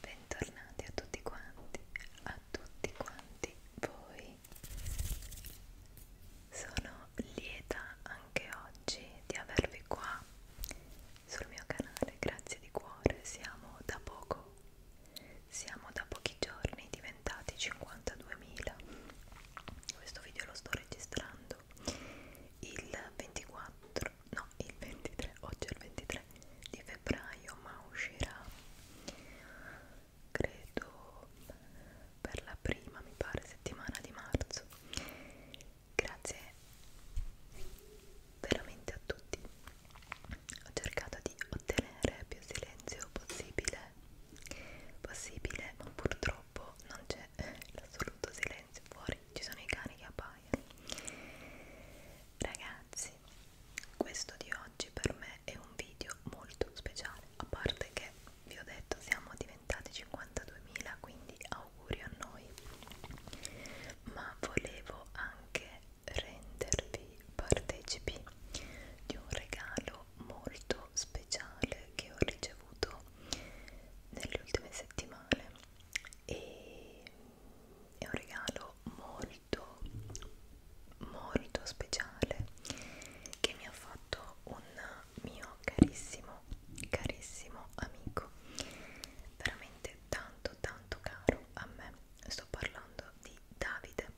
bentornati a tutti quanti, a tutti quanti voi. Sono lieta anche oggi di avervi qua sul mio canale, grazie di cuore, siamo da poco, siamo da pochi giorni diventati 52.000. Questo video lo sto registrando il 24, no il 23, oggi è il 23 di febbraio ma uscirà credo per la prima mi pare settimana di marzo grazie veramente a tutti ho cercato di ottenere più silenzio possibile possibile ma purtroppo non c'è l'assoluto silenzio fuori ci sono i cani che abbaiano ragazzi questo di oggi per me è un video molto speciale a parte che vi ho detto siamo diventati 52.000 quindi auguri a noi ma volevo anche rendervi partecipi di un regalo molto speciale che ho ricevuto nelle ultime settimane e è un regalo molto molto speciale che mi ha fatto un mio carissimo carissimo amico veramente tanto tanto caro a me sto parlando di Davide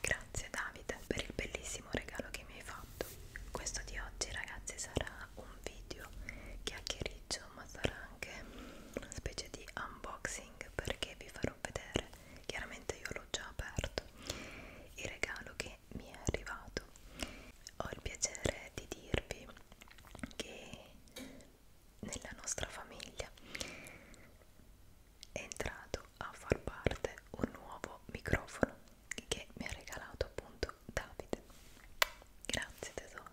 grazie Davide per il bellissimo regalo che mi hai fatto questo di oggi ragazzi sarà un video chiacchiericcio ma sarà anche una specie di unboxing perché vi farò vedere chiaramente io l'ho già aperto il regalo che mi è arrivato ho il piacere di dirvi che nella nostra famiglia è entrato a far parte un nuovo microfono che mi ha regalato appunto Davide grazie tesoro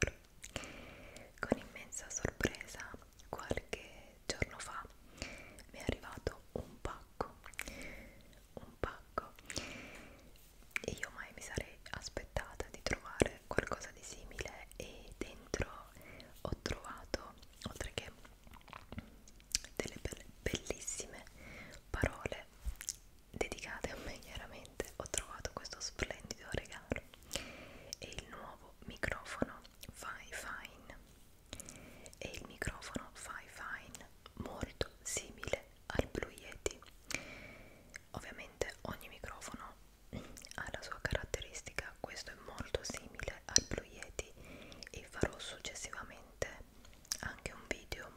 con immensa sorpresa, qualche giorno fa mi è arrivato un pacco, un pacco, e io mai mi sarei aspettata di trovare qualcosa di simile e dentro ho trovato, oltre che delle bellissime parole dedicate a me chiaramente ho trovato questo splendido regalo è il nuovo microfono Fi Fine è il microfono Fi Fine molto simile al Blue Yeti ovviamente ogni microfono ha la sua caratteristica questo è molto simile al Blue Yeti e farò successivamente anche un video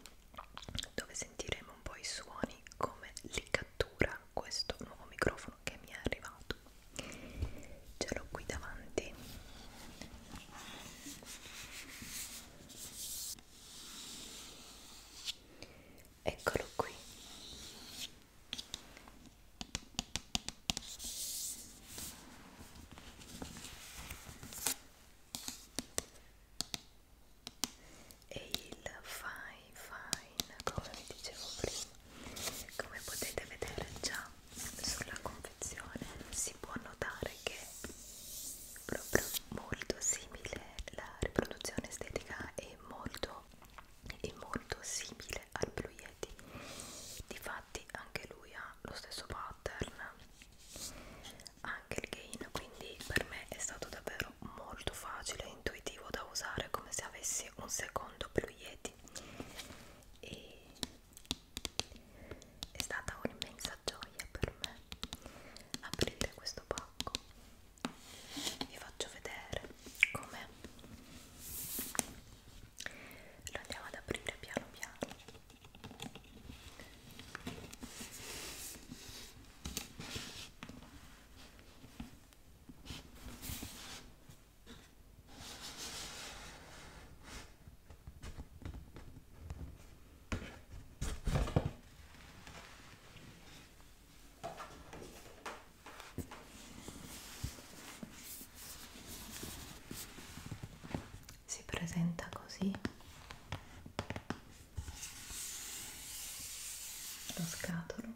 dove sentiremo un po' i suoni come li cattura questo nuovo microfono che mi è arrivato ce l'ho qui davanti eccolo qui e il fine fine come vi dicevo prima come potete vedere già sulla confezione si può notare che è proprio molto simile la riproduzione estetica è molto è molto simile al Blue Yeti difatti anche lui ha lo stesso pattern anche il gain quindi per me è stato davvero molto facile e intuitivo da usare come se avessi un secondo Blue Yeti e è stata un'immensa gioia per me aprire questo pacco vi faccio vedere com'è lo andiamo ad aprire piano piano si presenta così lo scatolo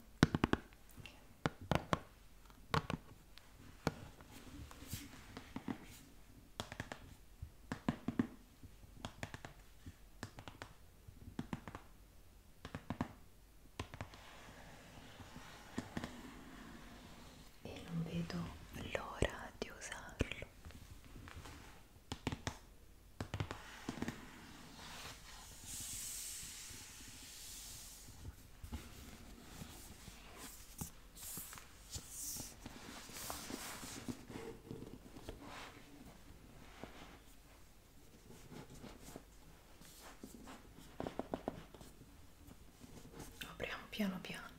e non vedo l'ora di usarlo Apriamo piano piano.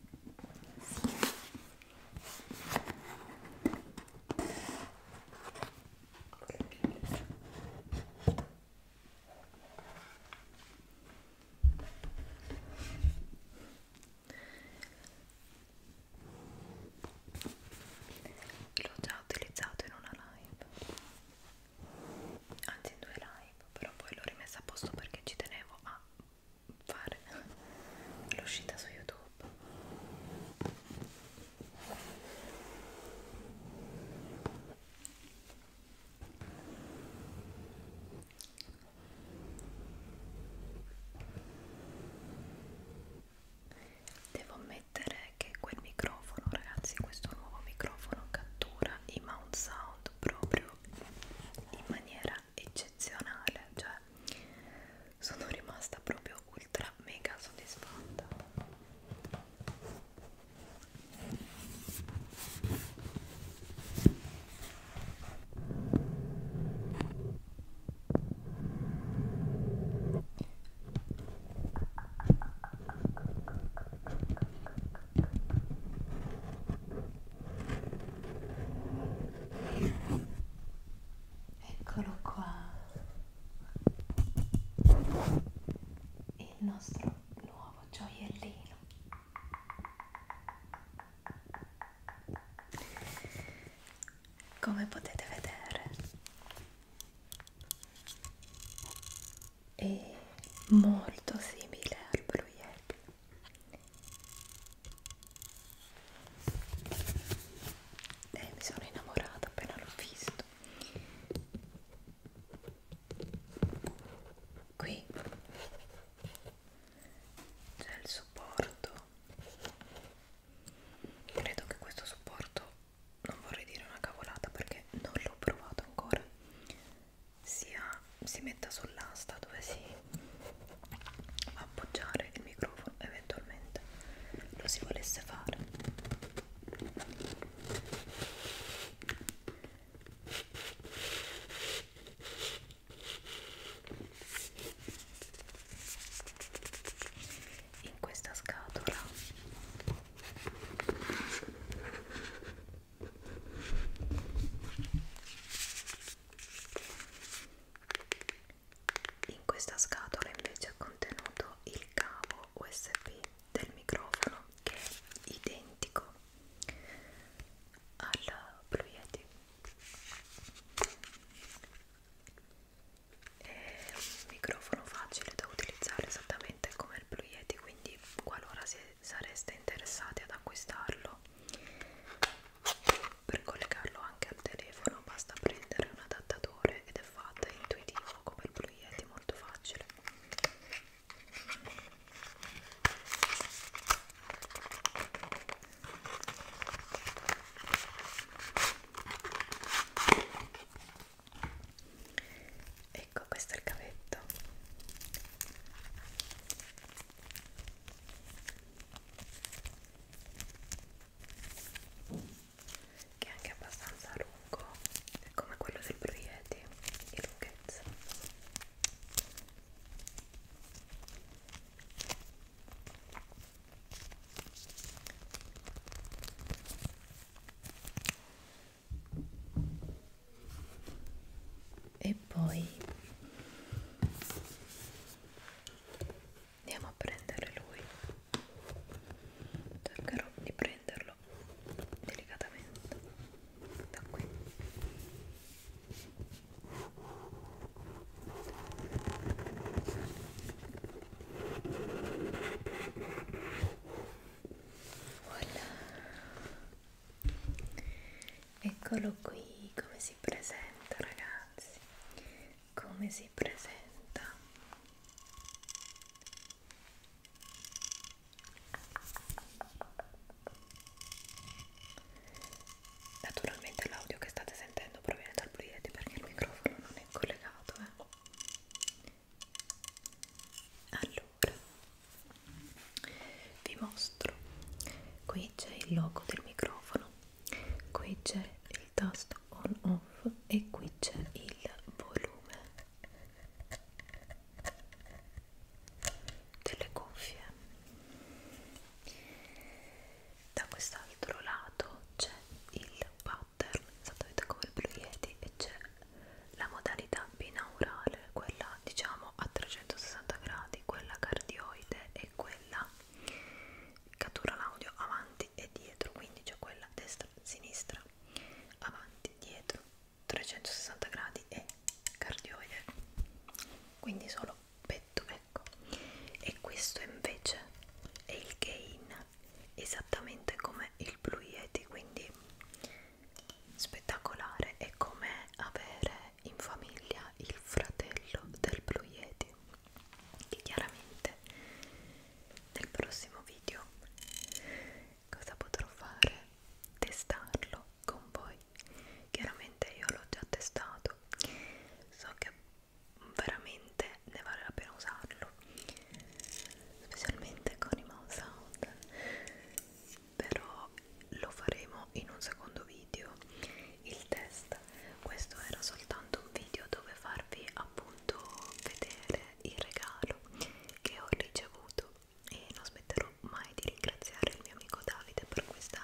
Sì. L'ho già utilizzato in una live, anzi in due live, però poi l'ho rimessa a posto perché ci tenevo a fare l'uscita su YouTube Devo ammettere che quel microfono, ragazzi, questo nuovo microfono cattura i mount sound fatto proprio in maniera eccezionale cioè sono rimasta proprio ultra mega soddisfatta Eccolo qua, il nostro nuovo gioiellino. Come potete vedere, è molto simile al Blue Yeti e mi sono innamorata appena l'ho visto qui c'è il supporto credo che questo supporto non vorrei dire una cavolata perché non l'ho provato ancora sia si metta sull'asta dove si va a appoggiare il microfono eventualmente lo si volesse fare in questa scatola in questa scatola invece è contenuto il cavo USB del microfono che è identico al Blue Yeti. È un microfono facile da utilizzare esattamente come il Blue Yeti, quindi qualora si sareste interessati ad acquistarlo per collegarlo anche al telefono basta prendere un adattatore ed è fatto è intuitivo come il Blue Yeti molto facile ecco questo è il cavetto che è anche abbastanza lungo è come quello del proietti di lunghezza e poi andiamo a prendere lui cercherò di prenderlo delicatamente da qui Voilà. Eccolo qui come si presenta ragazzi, come si presenta. Naturalmente l'audio che state sentendo proviene dal proietti perché il microfono non è collegato. Eh allora vi mostro qui c'è il logo del microfono qui c'è il tasto on off e qui c'è il volume delle cuffie da quest'altro lato c'è il power pattern esattamente come il Blue Yeti e c'è la modalità binaurale quella diciamo a 360 gradi quella cardioide e quella cattura l'audio avanti e dietro quindi c'è quella destra sinistra avanti dietro 360 gradi e cardioide quindi solo petto ecco e questo invece è il gain esattamente come il Blue Yeti quindi spettacolare è come avere in famiglia il fratello del Blue Yeti che chiaramente nel prossimo video cosa potrò fare? testarlo con voi chiaramente io l'ho già testato so che veramente me ne vale la pena usarlo specialmente con i mouse sound però lo faremo in un secondo video il test questo era soltanto un video dove farvi appunto vedere il regalo che ho ricevuto e non smetterò mai di ringraziare il mio amico Davide per questa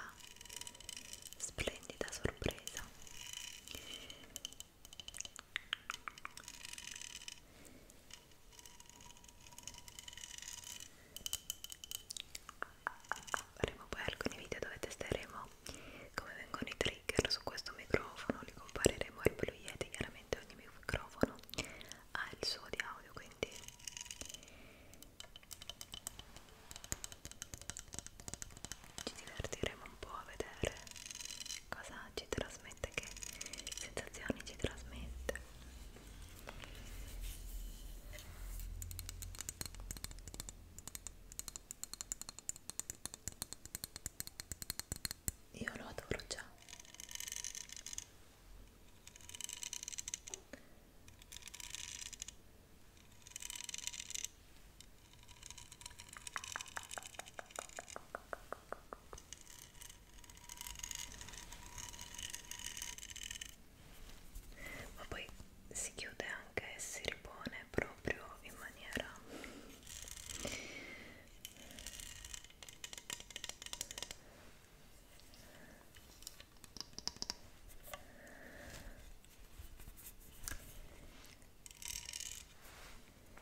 splendida sorpresa Faremo poi alcuni video dove testeremo come vengono i trigger su questo microfono, li compareremo al Blue Yeti, chiaramente ogni microfono ha il suo di audio, quindi ci divertiremo un po' a vedere cosa ci trasmette, che sensazioni ci trasmette. Io lo adoro già ma poi si chiude anche e si ripone proprio in maniera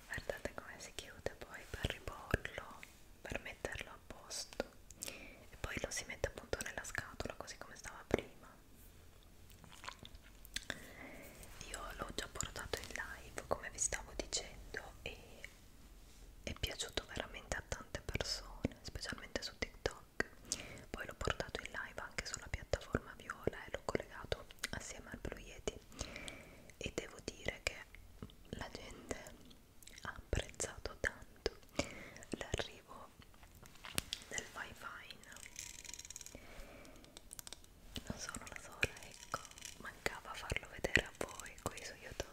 guardate come si chiude poi per riporlo per metterlo a posto e poi lo si mette appunto nella scatola così come stava prima io l'ho già portato in live come vi stavo dicendo e è piaciuto veramente a tante persone specialmente su TikTok poi l'ho portato in live anche sulla piattaforma viola e l'ho collegato assieme al Blue Yeti e devo dire che la gente ha apprezzato tanto l'arrivo del wifi non sono la sola ecco mancava farlo vedere a voi qui su youtube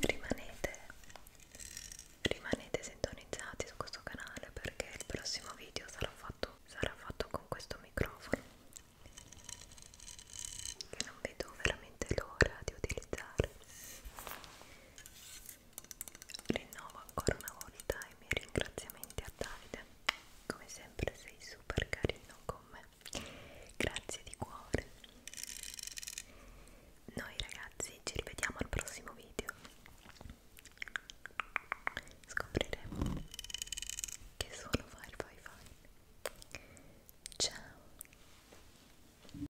Rimanete, rimanete sintonizzati su questo canale perché il prossimo video sarà fatto, sarà fatto con questo microfono che non vedo veramente l'ora di utilizzare Rinnovo ancora una volta i miei ringraziamenti a Davide, come sempre sei super carino con me, grazie di cuore. Noi ragazzi ci rivediamo al prossimo video. Scopriremo che suono fa il wifi. Ciao!